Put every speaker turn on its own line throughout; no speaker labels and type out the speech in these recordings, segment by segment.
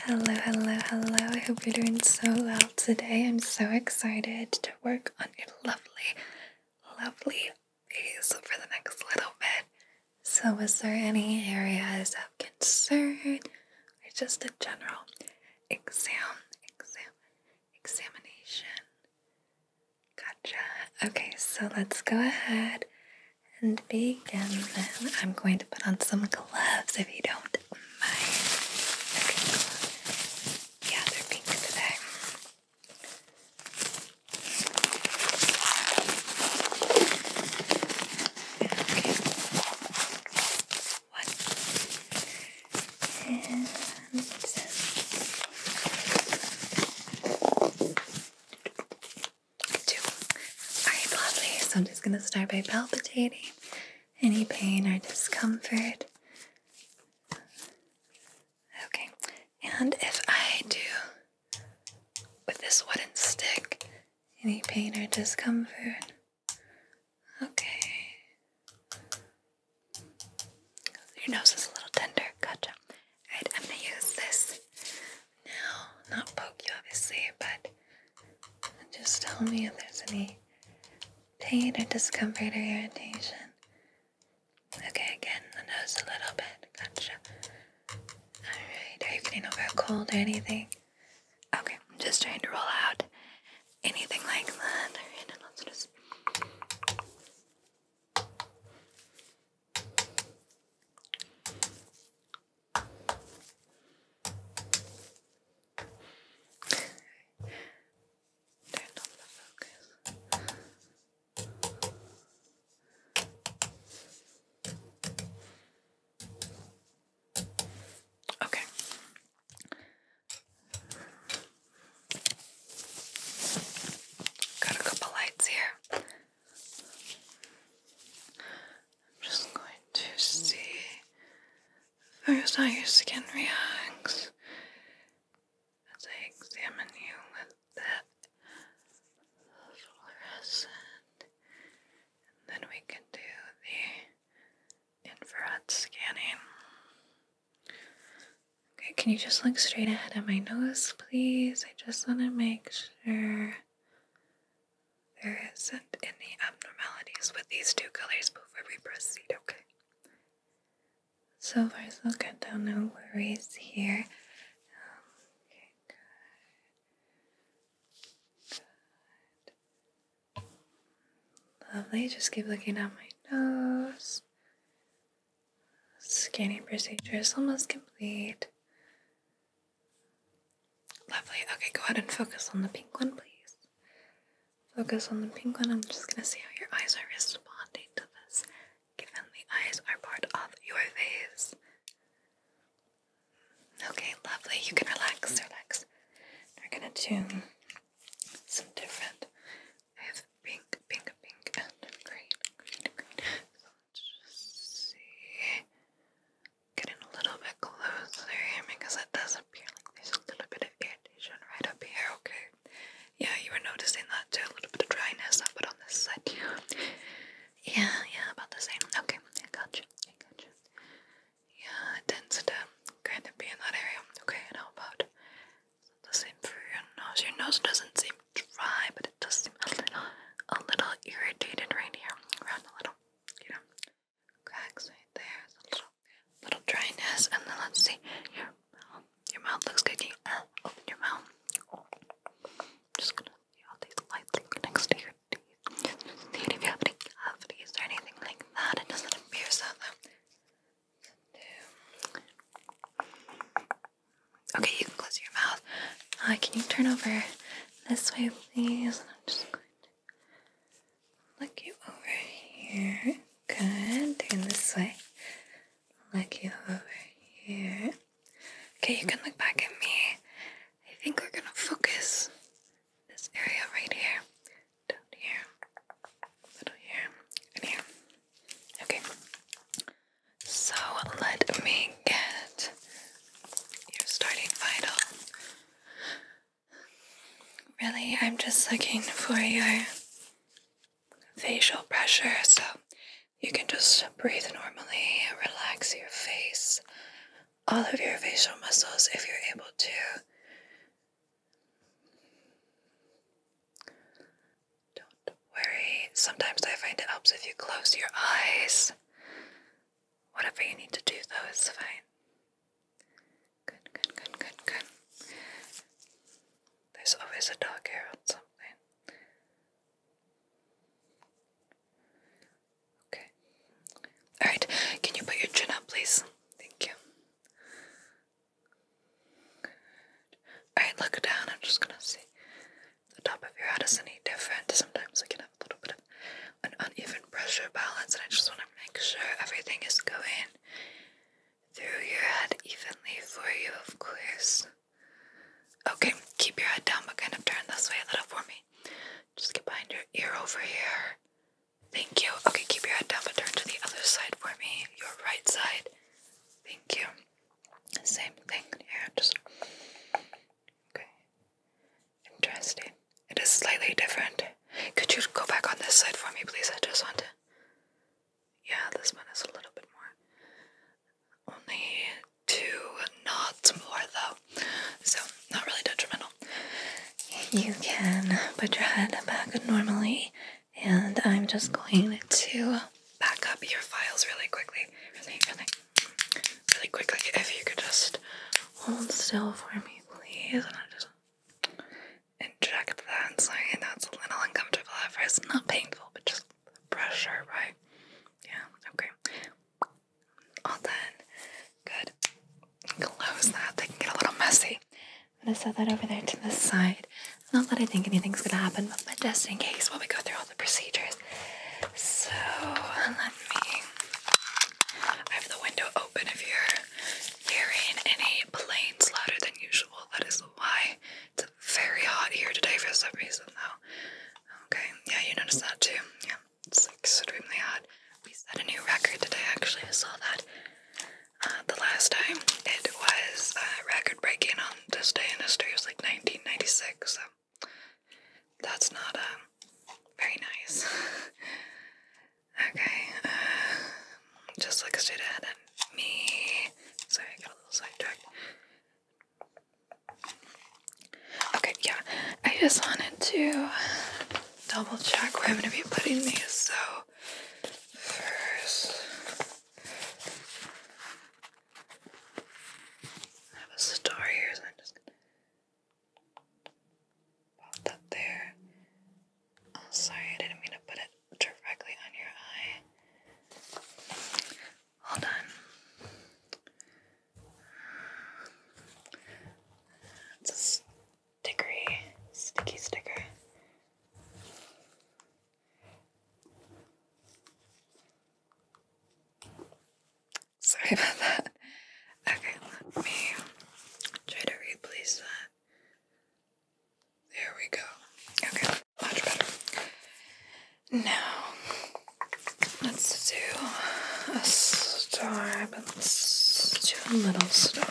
Hello, hello, hello. I hope you're doing so well today. I'm so excited to work on your lovely, lovely face for the next little bit. So, is there any areas of concern or just a general exam, exam, examination? Gotcha. Okay, so let's go ahead and begin then. I'm going to put on some Loves if you don't mind. Yeah, they're pink today. Okay. One two. Alright, lovely. So I'm just going to start by palpitating any pain or discomfort. Okay, and if I do with this wooden stick, any pain or discomfort? Okay. Your nose is a little tender. Gotcha. I'm gonna use this now, not poke you obviously, but just tell me if there's any pain or discomfort or irritation. Okay, again, the nose a little bit. Gotcha. Alright, are you getting over a cold or anything? Okay, I'm just trying to roll out anything like that. let's just. Okay. Got a couple lights here. I'm just going to see first how your skin reacts as I examine you with that fluorescent, and then we can do the infrared scanning. Okay, can you just look straight ahead at my nose, please? I just want to make sure there isn't any abnormalities with these two colors before we proceed, okay? So far, so good, No worries here. Um, okay, good. Good. Lovely. Just keep looking at my nose. Scanning procedure is almost complete. Lovely. Okay, go ahead and focus on the pink one, please. Focus on the pink one. I'm just gonna see how your eyes are responding to this, given the eyes are part of your face. Okay, lovely. You can relax, relax. We're gonna tune some different. I have pink, pink, pink, and green, green, Let's just see. Getting a little bit closer here because it does appear like there's a little bit of irritation right up here, okay? Yeah, you were noticing that too, a little bit of dryness up but on this side too. Yeah, yeah, about the same. Okay, I got you, I got you. Yeah, it tends to kind of be in that area. Okay, and how about the same for your nose? Your nose doesn't seem dry, but it does seem a little a little irritated right here, around the little, you know, cracks right there, a little, little dryness, and then let's see, your mouth, your mouth looks good, uh, open your mouth, just gonna see all these lights next to your teeth, see you have any cavities or anything like that, it doesn't appear so Okay, you can close your mouth. Uh, can you turn over this way, please? I'm just going to look you over here. Good. Turn this way. Look you over here. Okay, you can look back at me. I think we're gonna focus this area right here, down here, little here, and here. Okay. So let me get your starting vital. Really, I'm just looking for your facial pressure so you can just breathe normally, relax your face, all of your facial muscles if you're able to worry. Sometimes I find it helps if you close your eyes. Whatever you need to do, though, is fine. Good, good, good, good, good. There's always a dog hair on something. Okay. Alright, can you put your chin up, please? Thank you. Alright, look down. I'm just gonna see. The top of your head is any different. Sometimes we can have a little bit of an uneven pressure balance, and I just want to make sure everything is going through your head evenly for you, of course. Okay, keep your head down, but kind of turn this way a little for me. Just get behind your ear over here. Thank you. Okay, keep your head down, but turn to the other side for me. Your right side. Thank you. Same thing here. Just Okay. Interesting. It is slightly different. Could you go back on this side for me, please? I just want to. Yeah, this one is a little bit more. Only two knots more, though. So, not really detrimental. You can put your head back normally, and I'm just going to back up your files really quickly. Really, really, really quickly. If you could just hold still for me, please. And I just inject that. And That's a little uncomfortable at first. Not painful, but just pressure, right? Yeah, okay. All done. Good. Close that. They can get a little messy. I'm gonna set that over there to the side. Not that I think anything's gonna happen, but just in case while we go through all the procedures. So let me. I have the window open if you're hearing any planes louder than usual. That is why it's very hot here today for some reason, though. Okay, yeah, you noticed that too. Yeah, it's extremely hot. We set a new record today, actually. I saw that uh, the last time. It was uh, record breaking on this day in history. It was like 1996, so that's not a um, very nice. okay, uh, just look straight ahead me. Sorry, I got a little sidetracked. Okay, yeah, I just wanted to double check where I'm gonna be putting these. So first, I have a star here, so I'm just gonna pop that there. Oh, sorry, I didn't mean to put it directly on your eye. Hold on. It's a stickery, sticky sticker. Sorry about that. Okay, let me try to replace that. There we go. Okay, much better. Now, let's do a star, but let's little star.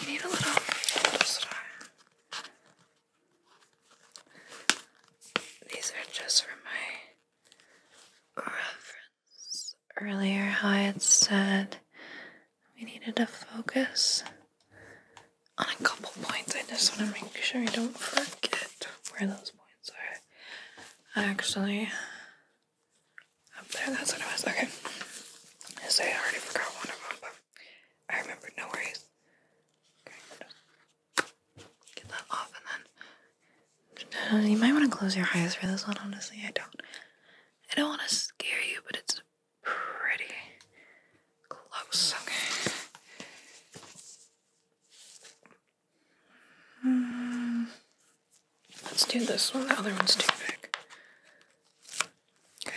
You need a little star. These are just for my reference. Earlier, how I had said we needed to focus on a couple points. I just want to make sure I don't forget where those points are. Actually, up there, that's what it was. Okay. I I already forgot one of them, but I remember. no worries. Get that off and then uh, you might want to close your eyes for this one, honestly. I don't I don't want to scare you, but it's pretty close, okay. Hmm, let's do this one. The other one's too big. Okay.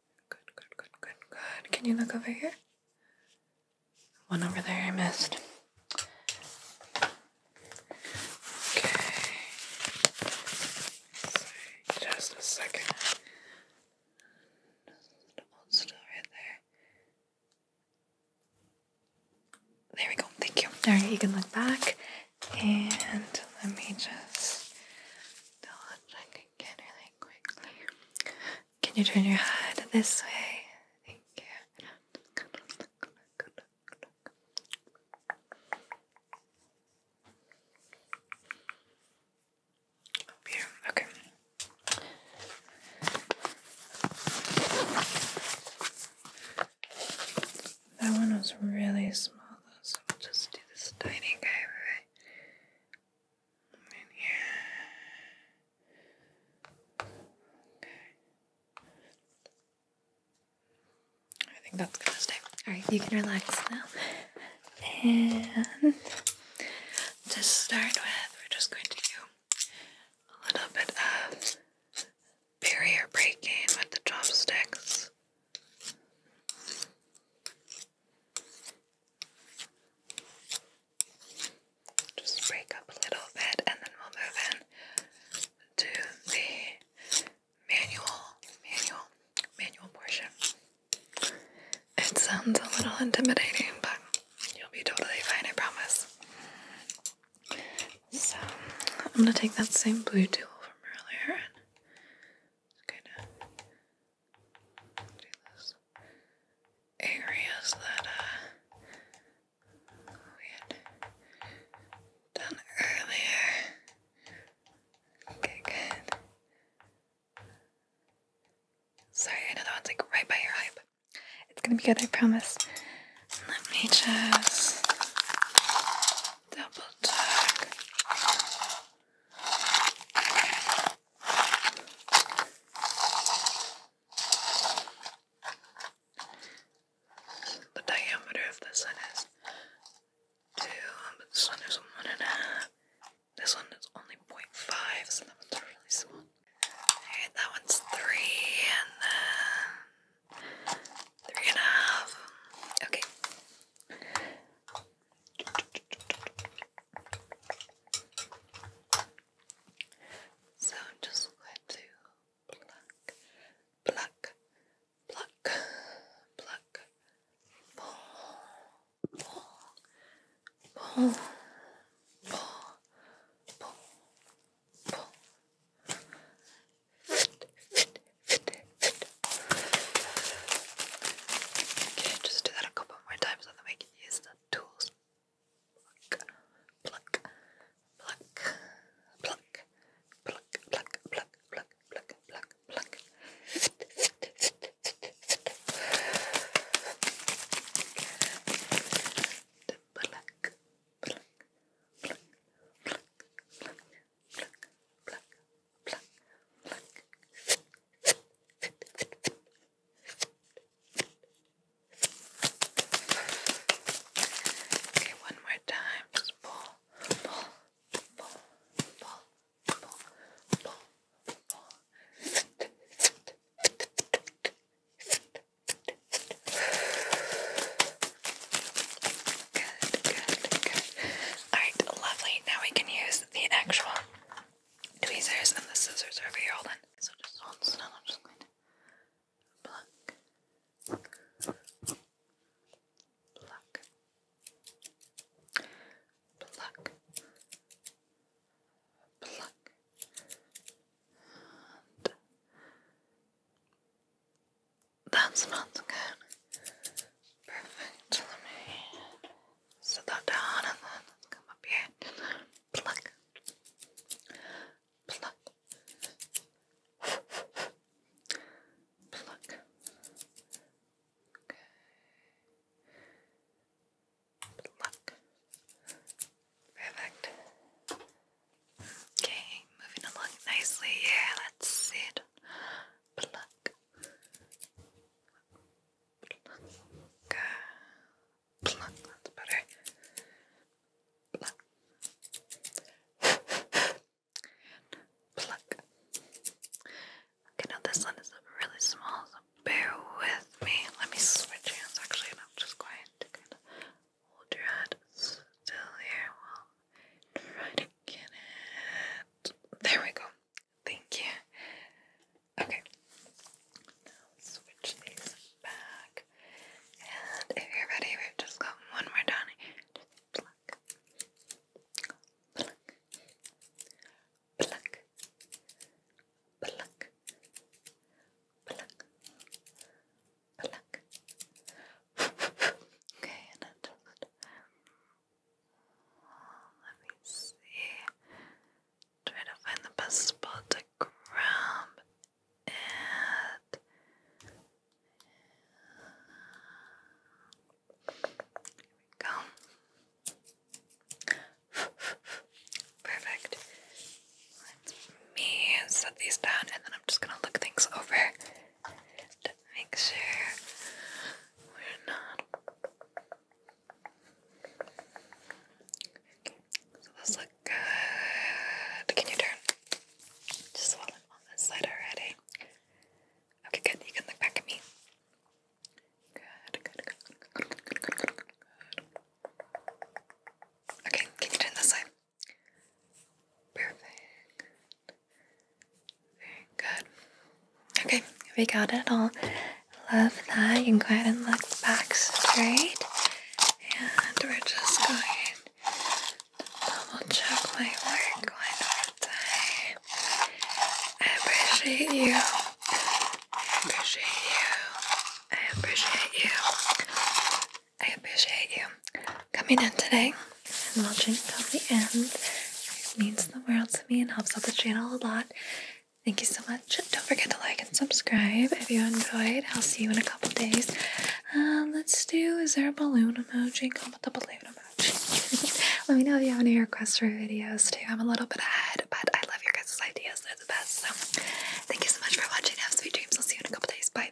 Good, good, good, good, good. Can you look over here? One over there I missed. Okay. just a second. Hold still right there. There we go. Thank you. All right, you can look back, and let me just still looks can really quickly. Can you turn your head this way? Thank you. Okay. That one was really small. So we'll just do this tiny guy right in here. Okay. I think that's gonna stay. Alright, you can relax now. And to start with, we're just going to do a little bit of barrier breaking with the chopsticks. Just break up a little bit and then we'll move in the manual, manual, manual portion. It sounds a little intimidating, but you'll be totally fine, I promise. So, I'm gonna take that same blue tool from earlier kind of do this. Areas that uh, we had done earlier. Okay, good. Sorry, I know that one's like right by your eye, it's gonna be good, I promise. Let me just double the diameter of this one is two, um, this one is one and a half. This one is only 0.5, so that one's really small. Alright, that one's three, and then three and a half. Okay, so I'm just going to pluck, pluck, pluck, pluck, pull, pull, pull, pull, pull, pull. Okay, just do that a couple more times so that we use the tools. Pluck, pluck, pluck, pluck, pluck, pluck, pluck, pluck, pluck, pluck, pluck. Pluck, pluck, pluck, pluck, pluck, pluck pluck, pluck, pluck, pluck. Fit, fit, fit, fit, fit, fit. Okay, one more time. Just pull, pull, pull, pull, pull, pull, pull. Fit, fit, fit, fit, fit, fit, fit. Good, good, good. Alright, lovely. Now we can use the actual tweezers and the scissors over here. Hold on. So just hold pluck. Pluck. Pluck. Pluck. That's not good. Perfect. Let me sit that down and then let's come up here. Pluck. Pluck. Pluck. Okay. Pluck. Perfect. Okay, moving along nicely. Yeah, that's it. Pluck. Pluck. Pluck, that's better. Pluck. Pluck. Okay, now this one is really small, so bear with me. Let me switch hands actually, I'm just going to kind of hold your head still here while there we go. Thank you. Okay. switch these back. And if you're ready, we just got one more down pluck. Pluck. Pluck. Pluck. Pluck. Pluck. okay, and then just um, let me see. Try to find the best spot to grab it. Here we go. Perfect. Let me set these down and then I'm just gonna look things over to make sure we're not. so those look good. Can you turn? Just while I'm on this side already. Okay, good. You can look back at me. good, good, good, good, good, good, good. Okay, can you turn this side? Perfect. Very good. Okay, we got it all. Love that. You can go ahead and look back straight. And we're just going to double check my work one more time. I appreciate you. I appreciate you. I appreciate you. I appreciate you coming in today and watching until the end. It means the world to me and helps out the channel a lot. Thank you so much. Don't forget to like and subscribe if you enjoyed. I'll see you in a couple days. Um, let's do, is there a balloon emoji? Comment the balloon emoji. Let me know if you have any requests for videos too. I'm a little bit ahead, but I love your guys' ideas. They're the best. So thank you so much for watching. Have sweet dreams. I'll see you in a couple days. Bye.